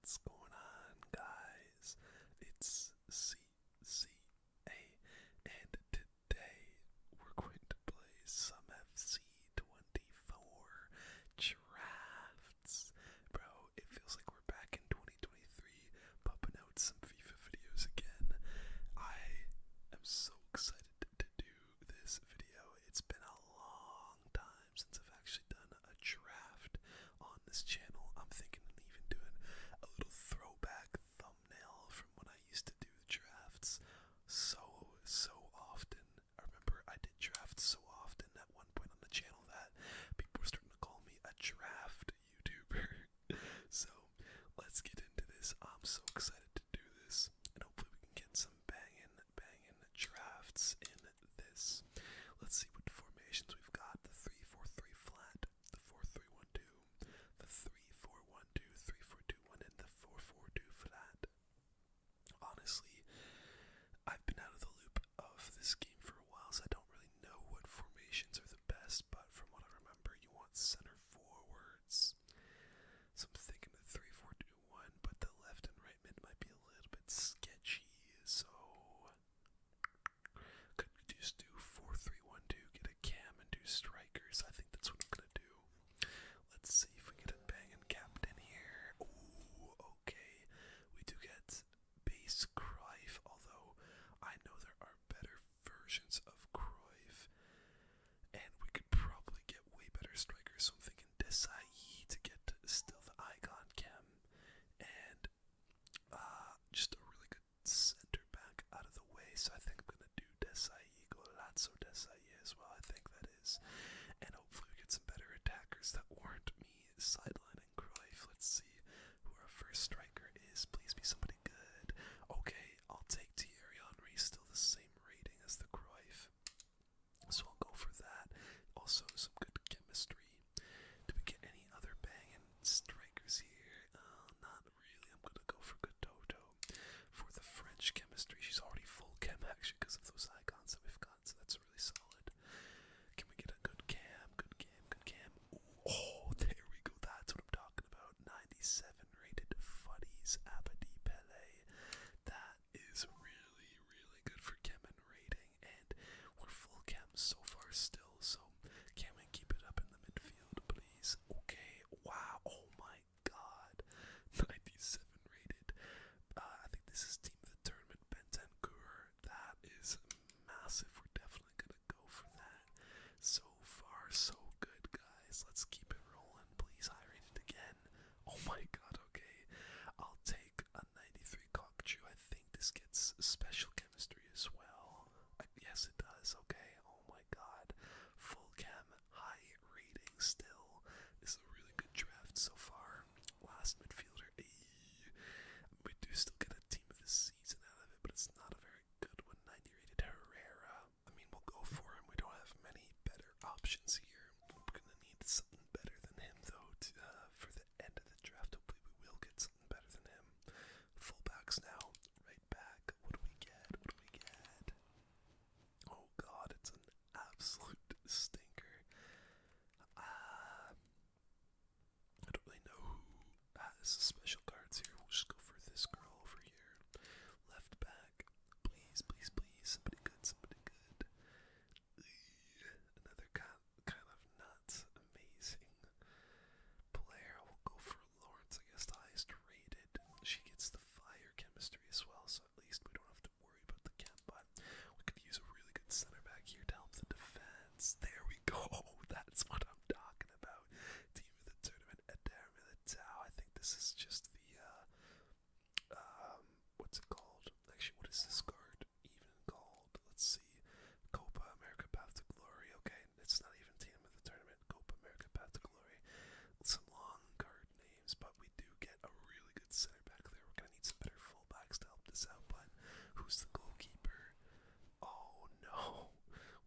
What's going on, guys? It's CCA, and today we're going to play some FC24 drafts. Bro, it feels like we're back in 2023 pumping out some FIFA videos again. I am so excited to do this video. It's been a long time since I've actually done a draft on this channel. I'm thinking of even doing a little throwback thumbnail from when I used to do drafts so, so often. I remember I did drafts so often at one point on the channel that people were starting to call me a draft YouTuber. so let's get into this. I'm so excited to do this, hopefully we can get some banging, banging drafts in this. Let's see what formations we've got. The 3-4-3 flat, the 4-3-1-2, the 3-4-1-2, 3 4 2 and the 4-4-2 flat. Honestly, I've been out of the loop of this game for a while, so I don't really know what formations are the best, but from what I remember, you want center forward. So I'm thinking the 3 but the left and right mid might be a little bit sketchy, so. Could we just do 4 3 get a cam and do strikers? I think that's what I'm gonna do. Let's see if we get a bang banging captain here. okay. We do get base Cruyff, although I know there are better versions of Cruyff and we could probably get way better strikers. So I'm thinking Desai to get still the Icon Chem, and uh, just a really good center back out of the way. So I think I'm gonna do Desai, Golazzo Desai as well. I think that is, and hopefully we get some better attackers that warrant me sidelining Cruyff. Let's see who our first striker is. Please be somebody good. Okay, I'll take Thierry Henry. Still the same rating as the Cruyff. So I'll go for that. Also, some good chemistry. Do we get any other banging strikers here? Uh, not really. I'm gonna go for good Toto. For the French chemistry, she's already full chem actually because of those icons that we've got, so that's really solid. Can we get a good cam? Good cam, good cam. oh, there we go. That's what I'm talking about. 97 rated Fuddy's Abadi Pele. That is really, really good for Kemen rating, and we're full Cam so far still, so Kemen, keep it up in the midfield, please. Okay, wow, oh my god. 97 rated. Uh, I think this is Team of the Tournament, Bentancur. That is massive. We're definitely gonna go for that. So far, so good, guys. Let's keep it rolling please irate it again. Oh my god, okay. I'll take a 93 cockatoo. I think this gets special chemistry as well. yes, it does, okay. Oh my god. Full chem, high reading. still. This is a really good draft so far. Last midfielder. Eee. We do still get a team of the season out of it, but it's not a very good one. 90 rated Herrera. I mean, we'll go for him. We don't have many better options here. We're gonna need something better than him, though, to, uh, for the end of the draft. Hopefully, we will get something better than him. Fullbacks now, right back. What do we get? What do we get? Oh God, it's an absolute stinker. Uh, I don't really know who has the special cards here. We'll just go for this girl over here. Left back back. Please, please, please. Somebody good, somebody good. Another kind of not amazing player. We'll go for Lawrence, I guess, the highest rated. She gets the fire chemistry as well, so at least we don't have to worry about the chem, but we could use a really good center back here to help the defense. There we go. That's what I'm talking about. Team of the tournament, Adair Militao. I think this is just the, uh, um, what's it called? Actually, what is this card even called? Let's see. Copa America Path to Glory. Okay, it's not even Team of the Tournament. Copa America Path to Glory. Some long card names, but we do get a really good center back there. We're gonna need some better fullbacks to help this out, but who's the goalkeeper? Oh no,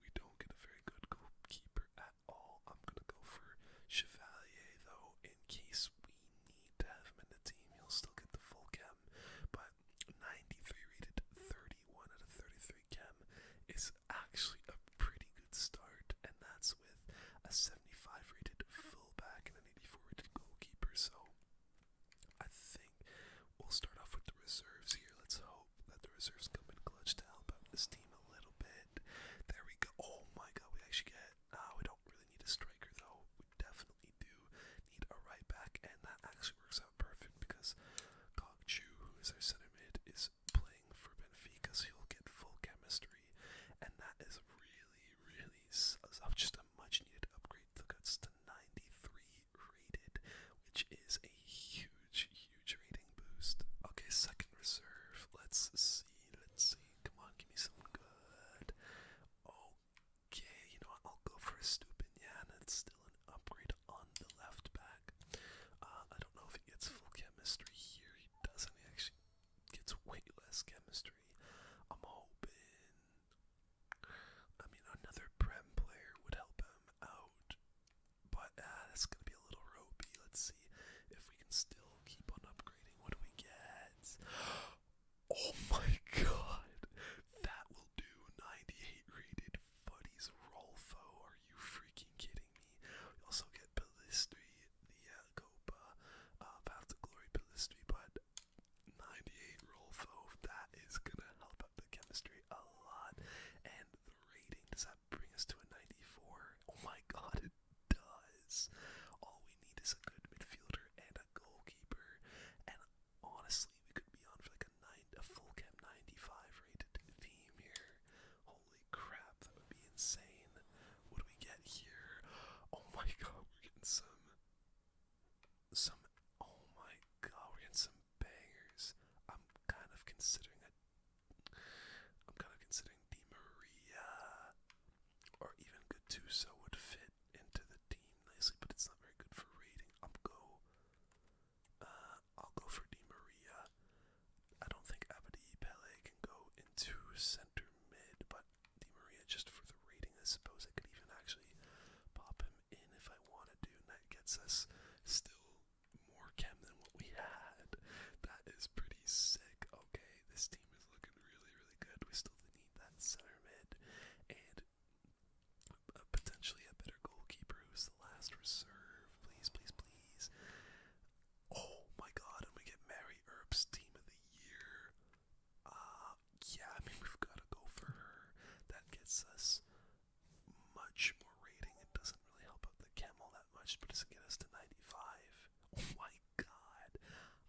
we don't get a very good goalkeeper at I'm gonna go for Chevalier though, in case we need to have him in the team. you will still get the full chem, but 93 rated, 31 out of 33 chem is actually a pretty good start, and that's with a 75 rated fullback and an 84 rated goalkeeper. So I think we'll start off with the reserves here. Let's hope hope that the reserves come in clutch to help out the team a little bit. There we go. Oh my god, we actually get. Uh, we don't really need a striker though. We definitely do need a right back, and that actually works out perfect because Kong who is our center mid, is playing for Benfica, so he'll get full chemistry, and that is really, really uh, just a much needed upgrade. The cuts to 93 rated, which is a huge, huge boost. Okay, second reserve. Let's see. Let's see. Come on, give me some good. Okay, you know I'll go for a stupid Stupinian. It's still an upgrade on the left back. Uh, I don't know if he gets full chemistry here. He doesn't. actually get way less chemistry. I'm hoping. I mean, another Prem player would help him out. But uh, that's gonna be a little ropey. Let's see if we can still keep on upgrading. What do we get? Oh my god! That will do 98 rated Fuddy's Rolfo. Are you freaking kidding me? We also get Palistri, the uh, Copa, uh, Path to but 98 Rolfo, that is gonna help out the chemistry a lot. And the rating, does bring us to a 94? Oh my god, it does. All we need is a good midfielder and a goalkeeper. And honestly, we could be on for like a, nine, a full cap 95 rated team here. Holy crap, that would be insane. What do we get here? Oh my god, we're getting some. Some. Oh my god, we're getting some bangers. I'm kind of considering i I'm kind of considering Di Maria or even Good Gattuso would fit into the team nicely, but it's not very good for reading. I'm go uh I'll go for Di Maria. I don't think Abadi Pele can go into center mid, but Di Maria just for the rating I suppose I could even actually pop him in if I want to do, and that gets us still more chem than what we had. That is pretty sick. Okay, this team is looking really, really good. We still need that center mid and potentially a better goalkeeper who's the last reserve. Please, please, please. Oh my god, and we get Mary Earp's team of the year. Uh, yeah, I mean, we've got to go for her. That gets us much more rating. It doesn't really help out the camel that much, but it's get us to 95. Oh my god.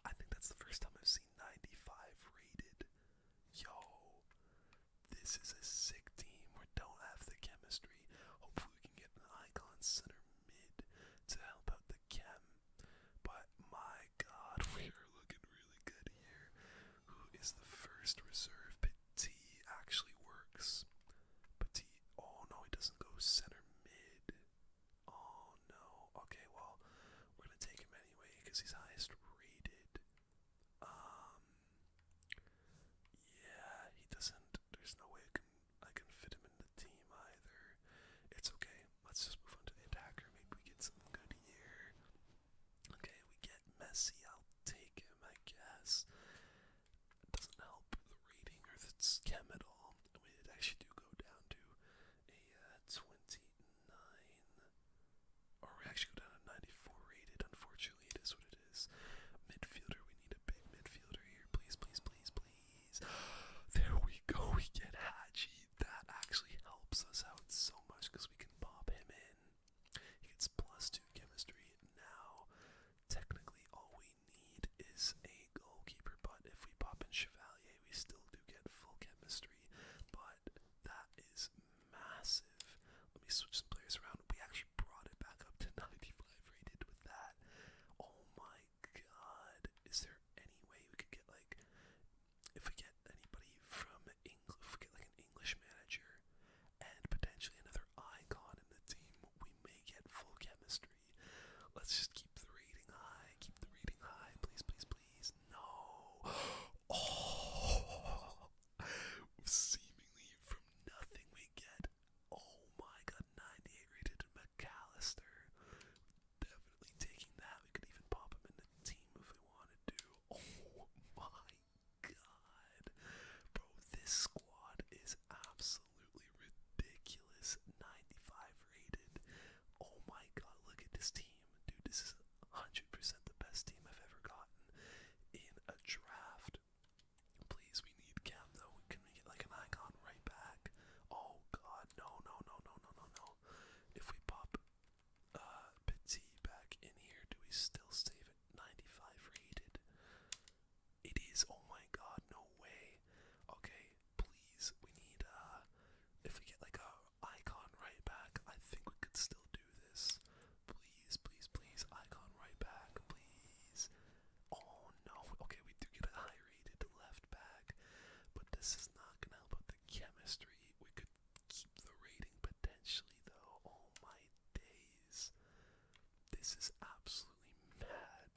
I think that's the first time I've seen 95 rated. Yo, this is a sick team. We don't have the chemistry. Hopefully we can get an icon center mid to help out the chem. But my god, we are looking really good here. Who is the first reserve Petit actually works. but Petit. Oh no, he doesn't go center mid. Oh no. Okay, well, we're gonna take him anyway because he's highest rated. Um. Yeah, he doesn't. There's no way I can I can fit him in the team either. It's okay. Let's just move on to the attacker. Maybe we get something good here. Okay, we get messy. I'll take him, I guess doesn't help the rating or the chem at all. I actually do go down to a uh, 29, or we actually go down to 94 rated. Unfortunately, it is what it is. Midfielder, we need a big midfielder here. Please, please, please, please. There we go. We get Haji. That actually helps us out so much because we can pop him in. He gets plus two chemistry. Now, technically, all we need is a goalkeeper, but if we pop in Chevalier, we still do get full chemistry. But that is massive. Let me switch some players around. We actually brought it back up to 95 rated with that. Oh my god. Is there any way we could get like if we get anybody from English if we get like an English manager and potentially another icon in the team, we may get full chemistry. Let's just keep the rating high. Keep the rating high. Please, please, please. No. Oh. Seemingly from nothing we get. Oh my god, 98 rated McAllister. Definitely taking that. We could even pop him in the team if we wanted to. Oh my god. Bro, this squad is absolutely ridiculous. 95 rated. Oh my god, look at this team. Dude, this is 100% the best team I've ever gotten in a draft. Please, we need Cam though. Can we get like an icon right back? Oh god, no, no, no, no, no, no, no. If we pop uh Petit back in here, do we still save 95 rated. It is, oh my god, no way. Okay, please, we need, uh, if we get like a icon right back, I think we could still do this. Please, please, please, icon right back, please. Oh no, okay, we do get a high rated left back, but this is not gonna help with the chemistry. We could keep the rating potentially though, oh my days. This is absolutely mad.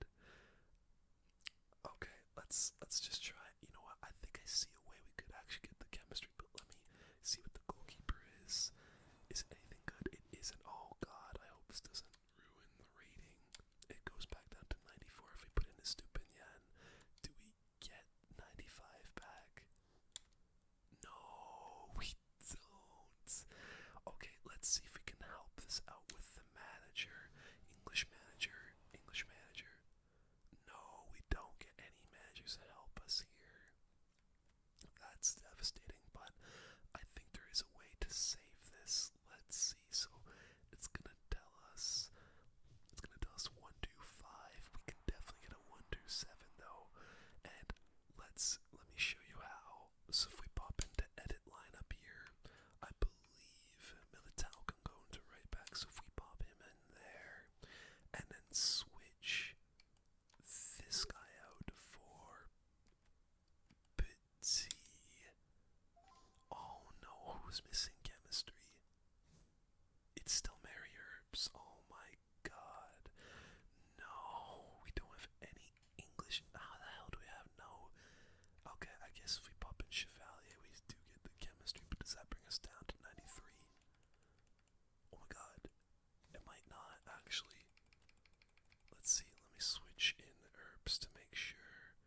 Okay, let's let's just try. You know what? I think I see a way we could actually get the chemistry, but let me see what the goalkeeper is. Is it anything good? It isn't. Oh god, I hope this doesn't ruin the rating. It goes back down to 94 if we put in the stupid yen. Do we get 95 back? No, we Okay, let's see if we can help this out with the manager. English manager, English manager. No, we don't get any managers to help us here. That's devastating, but I think there is a way to save this. Let's see. So it's gonna tell us it's gonna tell us one, two, five. We can definitely get a one, two, seven though. And Let's let me show you how. So if we pop into edit line up here, I believe Militao can go into right back. So if we pop him in there and then switch this guy out for Petit. Oh no, who's missing chemistry? It's still Mary Oh my god. No, we don't have any English. How the hell do we have no? Okay, I guess if we pop in Chevalier, we do get the chemistry, but does that bring us down to 93? Oh my god, it might not actually. Let's see, let me switch in the herbs to make sure.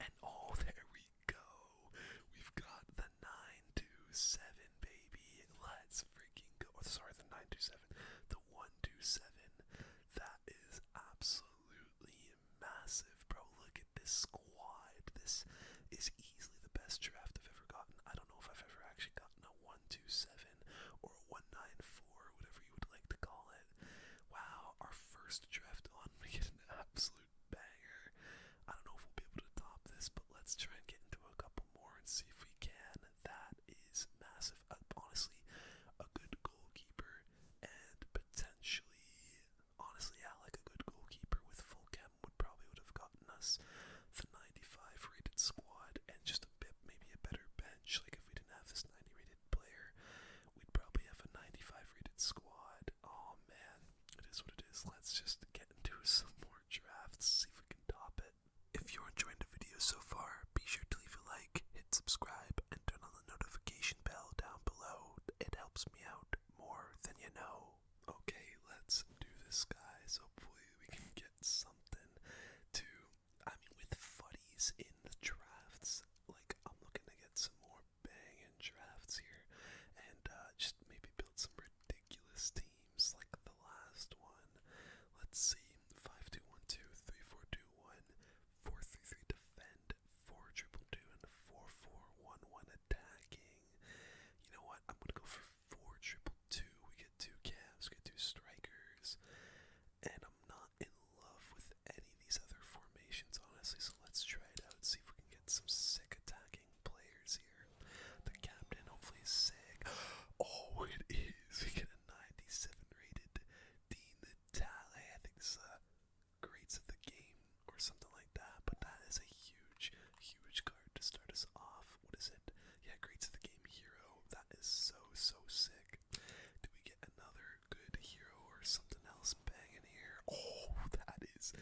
And oh, there we go. We've got the 9 927, baby. Let's freaking go. Oh, sorry, the 927. The 127. That is absolutely massive, bro. Look at this squad. This is easily the best draft I've ever gotten. I don't know if I've ever actually gotten a 127 or a 194, whatever you would like to call it. Wow, our first draft on, we get an absolute banger. I don't know if we'll be able to top this, but let's try and get into a couple more and see if we can. That is massive. Uh, honestly, a good goalkeeper and potentially, honestly, yeah, like a good goalkeeper with full cam would probably would have gotten us the 95 rated squad and just a bit, maybe a better bench. Like if we didn't have this 90 rated player, we'd probably have a 95 rated squad. Oh man, it is what it is. Let's just get into some more drafts, see if we can top it. If you're enjoying the video so far, be sure to leave a like, hit subscribe, and turn on the notification bell down below. It helps me out more than you know. Okay, let's do this, guys. Hopefully, we can get something to. I mean, with fuddies in the drafts, like, I'm looking to get some more bang banging drafts here and uh, just maybe build some ridiculous teams seems like the last one. Let's see. 5-2-1-2-3-4-2-1. 4-3-3 defend. 4-2-2 and 4-4-1-1 attacking. You know what? I'm gonna go for 4-2-2. We get two calves, we get two strikers. And I'm not in love with any of these other formations, honestly, so let's try it out, see if we can get some sick attacking players here. The captain hopefully is sick. Oh, it is. We get a 97 rated Dean Talley. I think this is a grades of the game or something like that. But that is a huge, huge card to start us off. What is it? Yeah, Greats of the game hero. That is so, so sick. Do we get another good hero or something else banging here? Oh, that is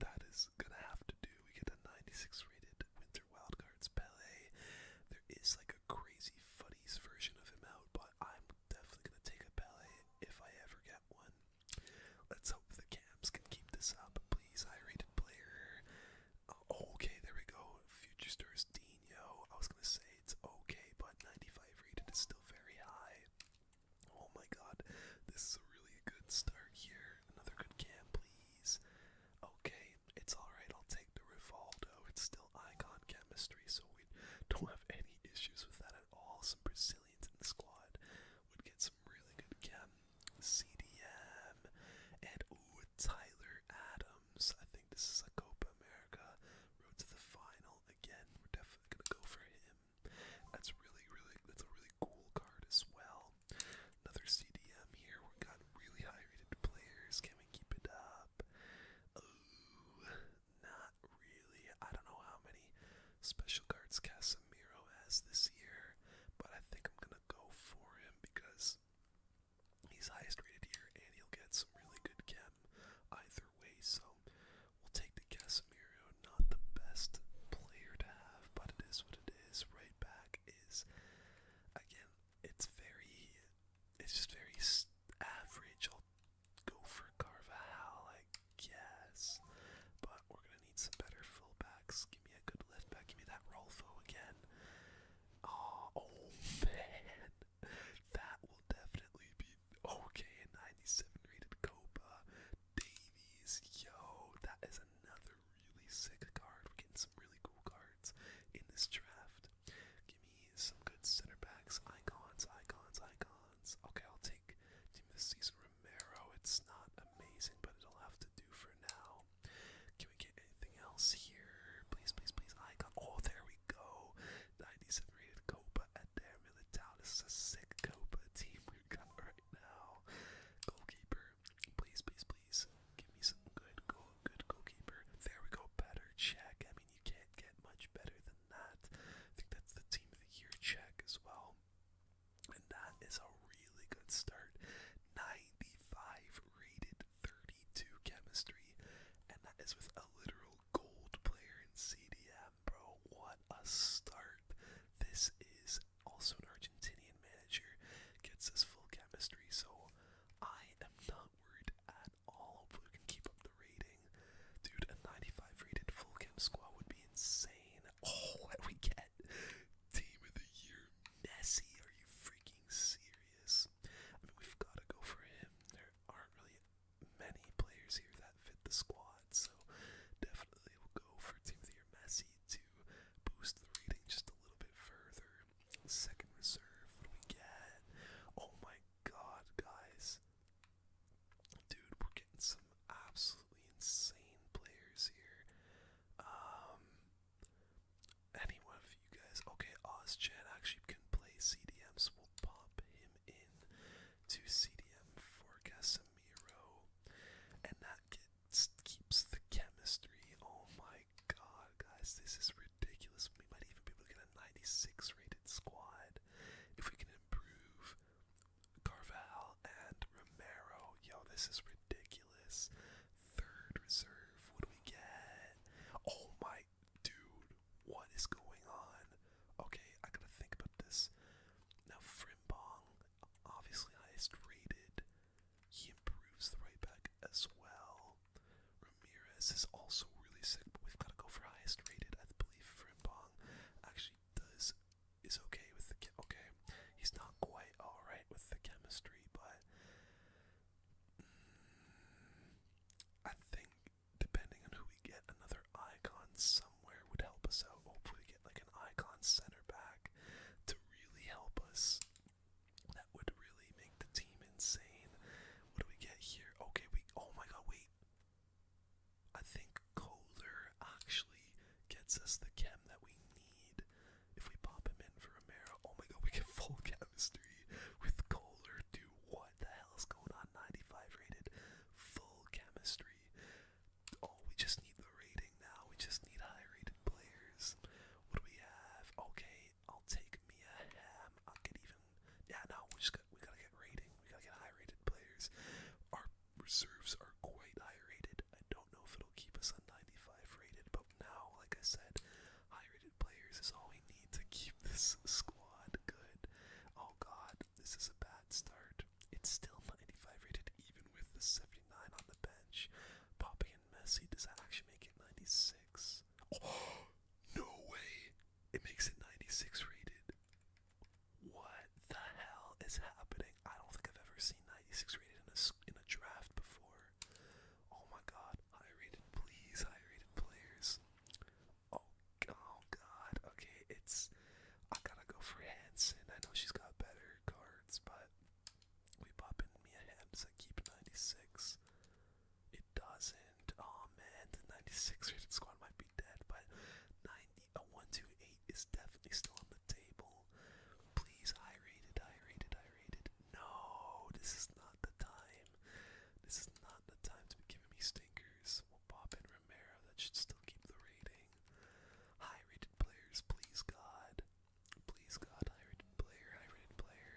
that is gonna have to do. We get a 96 rated Winter. Wildcard's Ballet. There is like a crazy footies version of him out, but I'm definitely gonna take a ballet if I ever get one. Let's hope the cams can keep this up, please. High rated player. Uh, okay, there we go. Future Stars Dino. I was gonna say it's okay, but 95 rated is still very high. Oh my god, this is a really good start here. Another good cam, please okay, it's alright, I'll take the Rivaldo. It's still icon chemistry, so we don't have any issues with that at all. Some Brazilians in the squad would get some really good chem. CDM and ooh, Tyler Adams. I think this is a Copa America road to the final. Again, we're definitely gonna go for him. That's really, really that's a really cool card as well. Another CDM here. We got really high rated players. Can we keep it up? Ooh, not really. I don't know how many special guards Casimiro has this year, but I think I'm gonna go for him because he's highest rated here and he'll get some really good chem either way. So we'll take the Casimiro. Not the best player to have, but it is what it is. Right back is again it's very it's just very average. I'll go for Carvajal, I guess, but we're gonna need some better fullbacks. Give me a good left back. Give me that Rolfo again. Oh, oh man, that will definitely be okay. A 97 rated Copa Davies, yo, that is another really sick card. We're getting some really cool cards in this draft. Give me some good center backs, icons, icons, icons. Okay, I'll take team this season Romero. It's not amazing, but it'll have to do for now. Can we get anything else here? Please, please, please. Icon. Oh, there we go. 97 rated Copa at their Militao. This is a sick Copa team we got right now. Goalkeeper Please, please, please. Give me some good goal, good goalkeeper. There we go. Better check. I mean, you can't get much better than that. I think that's the team of the year check as well. And that is a really good start. 95 rated 32 chemistry. And that is with a literal gold player in CDM, bro. What a start. This is also an Argentinian manager, gets this full chemistry, so I am not worried at all. Hopefully, we can keep up the rating. Dude, a 95 rated full chem squad would be insane. Oh, what we get? Team of the year, Messi. Are you freaking serious? I mean, we've got to go for him. There aren't really many players here that fit the squad, so definitely we'll go for Team of the Year Messi to boost the reading just a little bit further. Second reserve, what do we get? Oh my god, guys. Dude, we're getting some absolutely insane players here. Um, anyone of you guys? Okay, OzChan actually can play CDMs. we'll pop him in to CDM for Casemiro, and that kid keeps the chemistry. Oh my god, guys, this is ridiculous. We might even be able to get a 96 rated squad if we can improve Carval and Romero. Yo, this is ridiculous. Third reserve, what do we get? Oh my dude, what is going on? Okay, I gotta think about this. Now Frimpong obviously highest rated. He improves the right back as well. Ramirez is also really sick, but we've got to go for highest rated. I believe Frimpong actually does is okay with the okay. He's not quite all right with the chemistry, but mm, I think depending on who we get, another icon somewhere would help us out. Hopefully, we like an icon center back to really help us. That would really make the team insane. What do we get here? Okay, we. Oh my god, wait. I think Kohler actually gets us the chem that we need. If we pop him in for Romero, oh my god, we get full chemistry with Kohler. Do what the hell is going on? 95 rated, full chemistry. Oh, we just need the rating now. We just need high rated players. What do we have? Okay, I'll take me a Ham. I'll get even. Yeah, no, we just got we gotta get rating. We gotta get high rated players. Our reserves are quite high rated. I don't know if it'll keep us on 95 rated, but now, like I said, high rated players is all we need to keep this squad good. Oh god, this is a bad start. It's still 95 rated even with the 79 on the bench. Poppy and Messi, does that actually make it 96? Oh, no way! It makes it 96 rated. What the hell is happening? I don't think I've ever seen 96 rated in a, in a draft before. Oh my god, high rated, please, high rated players. oh, oh god, okay, it's I gotta go for Hanson. I know she's got better cards, but we pop in Mia Hems keep 96. It doesn't. Oh man, the 96 rated squad might be dead, but 90, a 128 is definitely still on the table. Please, high rated, high rated, high rated. No, this is not the time. This is not the time to be giving me stinkers. We'll pop in Romero. That should still keep the rating. High rated players, please God. Please God, high rated player, high rated player.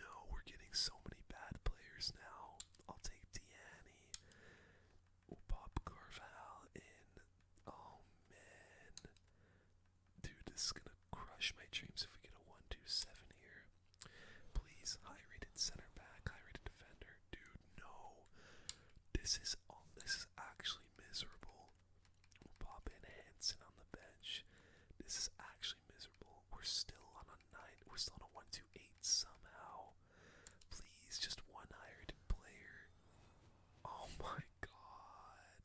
No, we're getting so many bad players now. I'll take Deanny. We'll pop Carval in. Oh man. Dude, this is gonna crush my dreams if we get a 1 2 7 here. Please, high rated center back, high rated defender. Dude, no. This is This is actually miserable. we pop in Henson on the bench. This is actually miserable. We're still on a nine. We're still on a one, two, eight somehow. Please, just one hired player. Oh my god,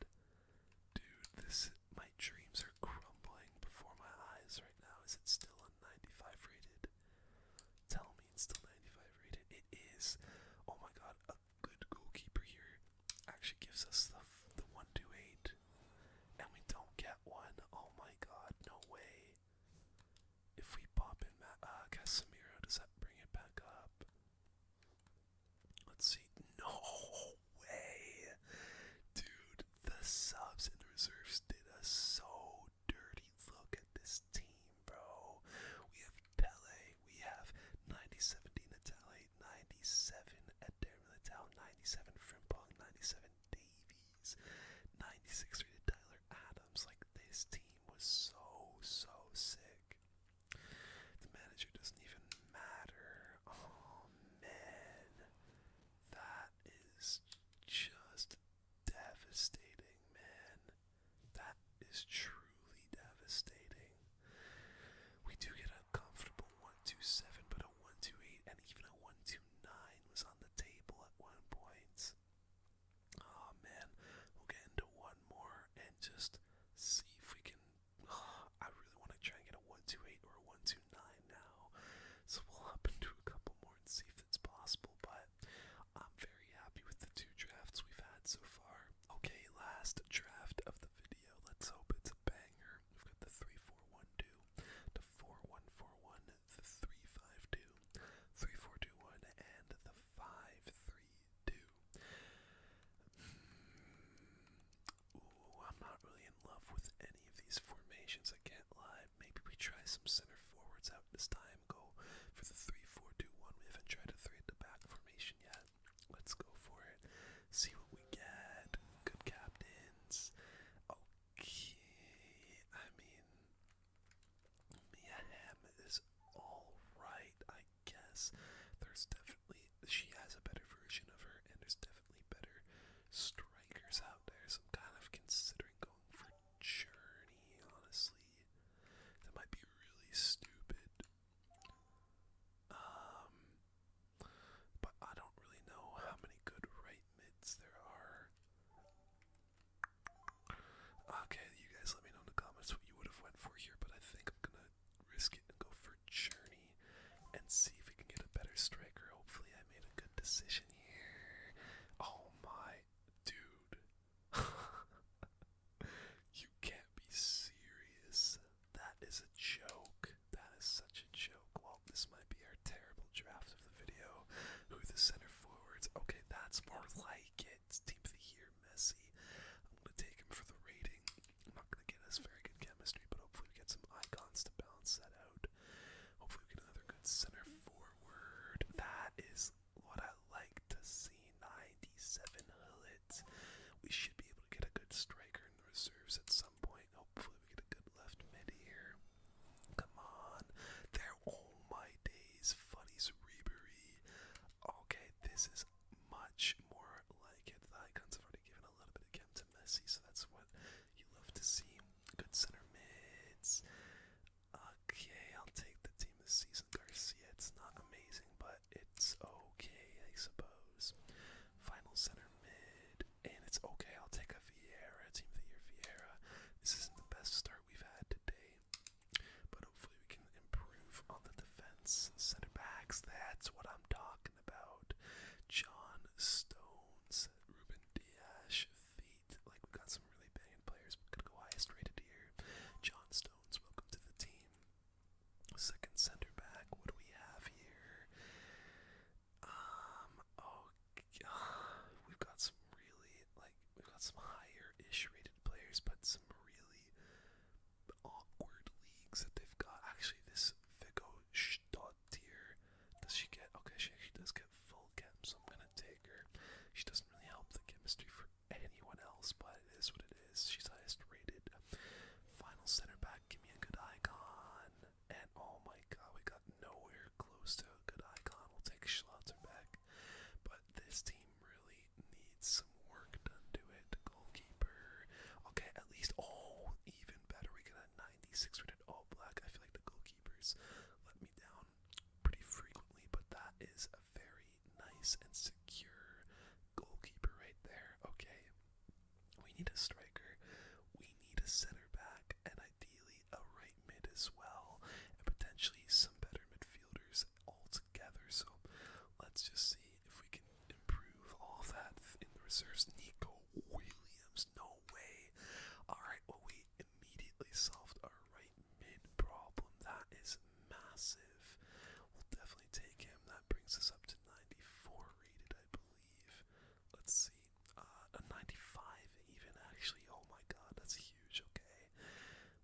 dude, this my dreams are crumbling before my eyes right now. Is it still on ninety-five rated? Tell me it's still 95 rated. It is. Oh my god, a good goalkeeper here actually gives us the, the 128. And we don't get one. Oh my god, no way. If we pop in uh, Casemiro, does that bring it back up? Let's see. No way! Dude, the subs and the reserves did us so dirty. Look at this this team, bro. We have Pele. We have 97 Di Natale, 97 Adair Militao, 97 Frimpong, 97 Davies, 96 rated Tyler Adams. Like, this team was so, so sick. The manager doesn't even matter. Oh, That is just devastating, man. That is truly devastating. We do get a comfortable 127, but a 128 and even a 129 was on the table at one point. Oh man, we'll get into one more and just see if we can. I really want to try and get a 128 or a 129 now. So we'll hop into a couple more and see if it's possible, but I'm very happy with the two drafts we've had so far. Okay, last draft of the video. Let's hope it's a banger. We've got the 3412, the 4141, the 352, and the 532. Hmm. Ooh, I'm not really in love with any of these formations, I can't lie. Maybe we try some center forwards this time. Go for the 3 We haven't tried a 3 at the back formation yet. Let's go for it. See what we get. Good captains. Okay. I mean, Mia Hamm is alright, I guess. There's definitely, she has a better version of her, and there's definitely better strikers out there. I'm kind of considering going for Journey, honestly really that might be really stupid. Um but I don't really know how many good right mids there are. Okay, you guys let me know in the comments what you would have went for here, but I think I'm gonna risk it and go for Journey and see if we can get a better striker. Hopefully I made a good decision here. Oh my dude, you can't be serious. That is a joke. That is such a joke. Well, this might be our terrible draft of the video. Who the center forwards? Okay, that's more like it. Team of the year, Messi. I'm gonna take him for the rating. I'm not gonna get us very good chemistry, but hopefully we get some icons to balance that out. Hopefully we get another good center forward. That is what I like to see. 97 We should be able to get a good striker in the reserves at some point. Hopefully, we get a good left mid here. Come on. There, all my days. Fuddy's Rebury. Okay, this is much more like it. The icons have already given a little bit of game to Messi, so that's what you love to see. Good center mids. Okay, I'll take the team this season, Garcia. It's not amazing, but it's okay, I suppose. Final center mid, and it's okay. I'll take a Vieira, team of the year Vieira. This isn't the best start we've had today, but hopefully we can improve on the defense. Center backs, that's what I'm talking about. John Stones, Ruben Diaz, like we got some really banging players. We're go highest rated here. John Stones, welcome to the team. Second center back. What do we have here? Um. Oh, we've got some really like we've got some higher-ish rated players, but some really awkward leagues that they've got. Actually, this Vigo Stottier, does she get? Okay, she actually does get full cap, so I'm gonna take her. She doesn't really help the chemistry for anyone else, but it is what it is. She's highest rated. Final center back, give me a good icon. And oh my god, we got nowhere close to a good icon. We'll take Schlatter back. But this team really needs some work done to it. Goalkeeper. Okay, at least oh even better. We got a 96 rated all black. I feel like the goalkeepers let me down pretty frequently, but that is very nice and secure goalkeeper right there. Okay, we need a striker, we need a center back, and ideally a right mid as well, and potentially some better midfielders altogether. So let's just see if we can improve all that in the reserves. Nico Williams, no way. All right, well we immediately solved our right mid problem. That is massive. We'll definitely take him. That brings us up to 94 rated, I believe. Let's see. Uh, a 95 even, actually. Oh my god, that's huge. Okay.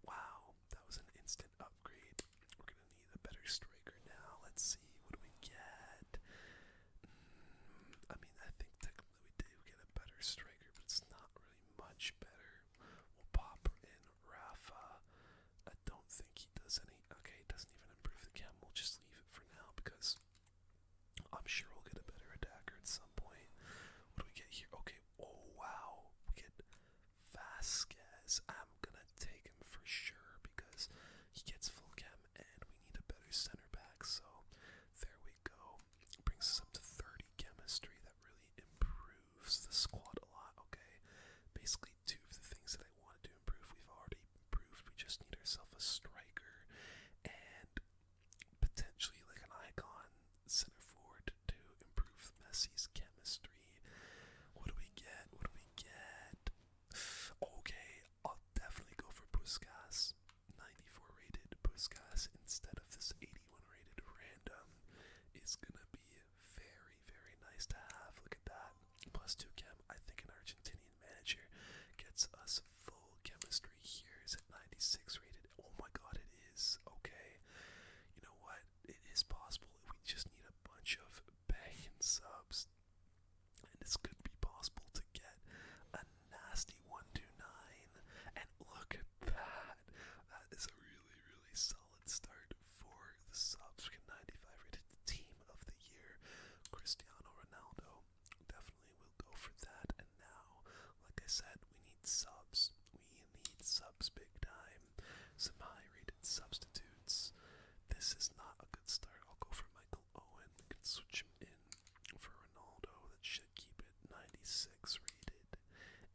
Wow, that was an instant upgrade. We're going to need a better striker now. Let's see. What do we get? Mm, I mean, I think technically we do get a better striker, but it's not really much better. We'll pop in Rafa. I don't think he does any. Okay, doesn't even improve the chem. We'll just leave it for now because I'm sure we'll get a better attacker at some point. What do we get here? Okay, oh wow. We get Vasquez. I'm gonna take him for sure because he gets full chem and we need a better center back. So there we we go. Brings us up to 30 chemistry. That really improves the squad a lot, okay? Basically, two of the things that I wanted to improve, we've already improved. We just need ourselves a striker and potentially like an icon center forward to improve Messi's chemistry. What do we get? What do we get? Okay, I'll definitely go for Puskas. 94 rated Puskas instead of this 80 anyone rated random is gonna be very, very nice to have. Look at that. Plus two chem. I think an Argentinian manager gets us full chemistry here. Is it 96 rated? Oh my god, it is. Okay. You know what? It is possible. We just need a bunch of back and subs. And it's gonna be possible to get a nasty 129. And look at that. That is a really, really solid start for the subs. Can 95 rated team of the year. Cristiano Ronaldo definitely will go for that. And now, like I said, we need subs. We need subs big time. Some high rated substitutes. This is not a good start. I'll go for Michael Owen. We can switch him in for Ronaldo. That should keep it. 96 rated,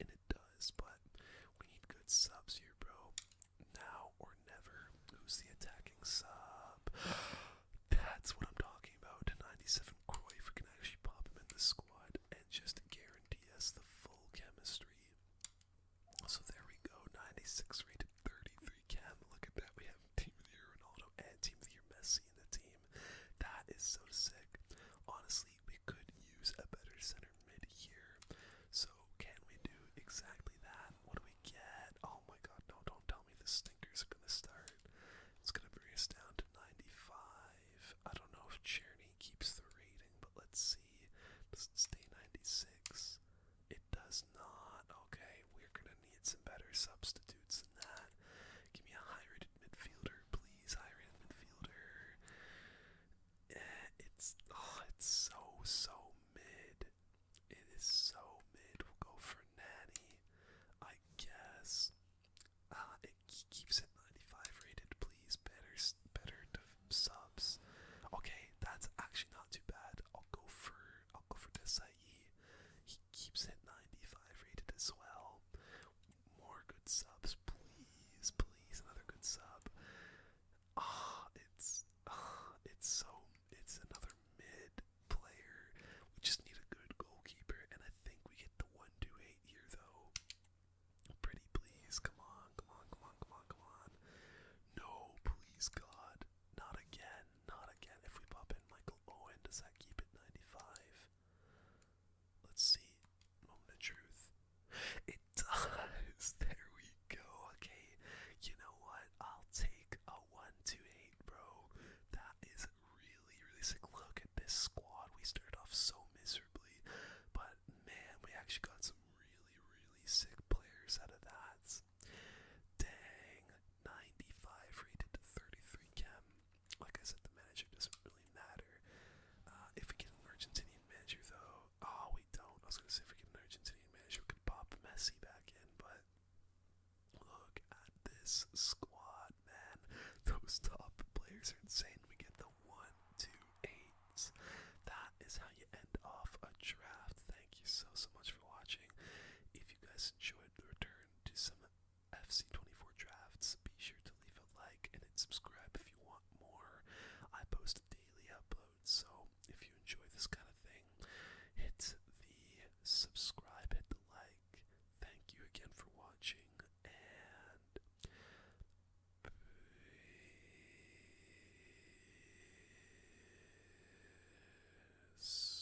and it does, but we need good subs here, bro. Now or never. Who's the attacking sub? That's what I'm talking about. 97 if we can actually pop him in the squad and just guarantee us the full chemistry. So there we go. 96 rated, 33 chem. Look at that. We have Team of the Year Ronaldo and Team of the Year Messi in the team. That is so sick. Honestly, we could use a better center mid here. So can we do exactly that? What do we get? Oh my god, no, don't tell me the stinkers are gonna start. It's gonna bring us down to 95. I don't know if Cherney keeps the rating, but let's see. Does it stay 96? It does not. Okay, we're gonna need some better substitutes. Give me a high-rated midfielder, please. High-rated midfielder. Eh, it's oh, it's so so mid. It is so mid. We'll go for Natty, I guess. Uh, it keeps at 95 rated, please. Better, better subs. Okay, that's actually not too bad. I'll go for I'll go for Desai. He keeps at 95 rated as well. More good subs, please, please, another good sub. Ah, it's ah, it's so it's another mid player. We just need a good goalkeeper, and I think we get the one two eight here though. Pretty please, come on, come on, come on, come on, come on. No, please God. Not again, not again. If we pop in Michael Owen, does that keep it 95? Let's see. Moment of truth. It does. There we go. Okay. You know what? I'll take a 1 2 8, bro. That is really, really sick. Look at this squad. We started off so miserably, but man, we actually got some really, really sick players out of that. Dang. 95 rated to 33 chem. Like I said, the manager doesn't really matter. Uh, if we get an Argentinian manager, though, oh, we don't. I was gonna say if we get an Argentinian manager, we could pop Messi back in, but look at this squad, man. Those top players are insane. We get the one, two, That is how you end off a draft. Thank you so so much for watching. If you guys enjoyed the return to some FC24 Drafts. Be sure to leave a like and hit subscribe if you want more. I post daily uploads, so if you enjoy this kind of thing, hit the subscribe, hit the like. Thank you again for watching, and peace.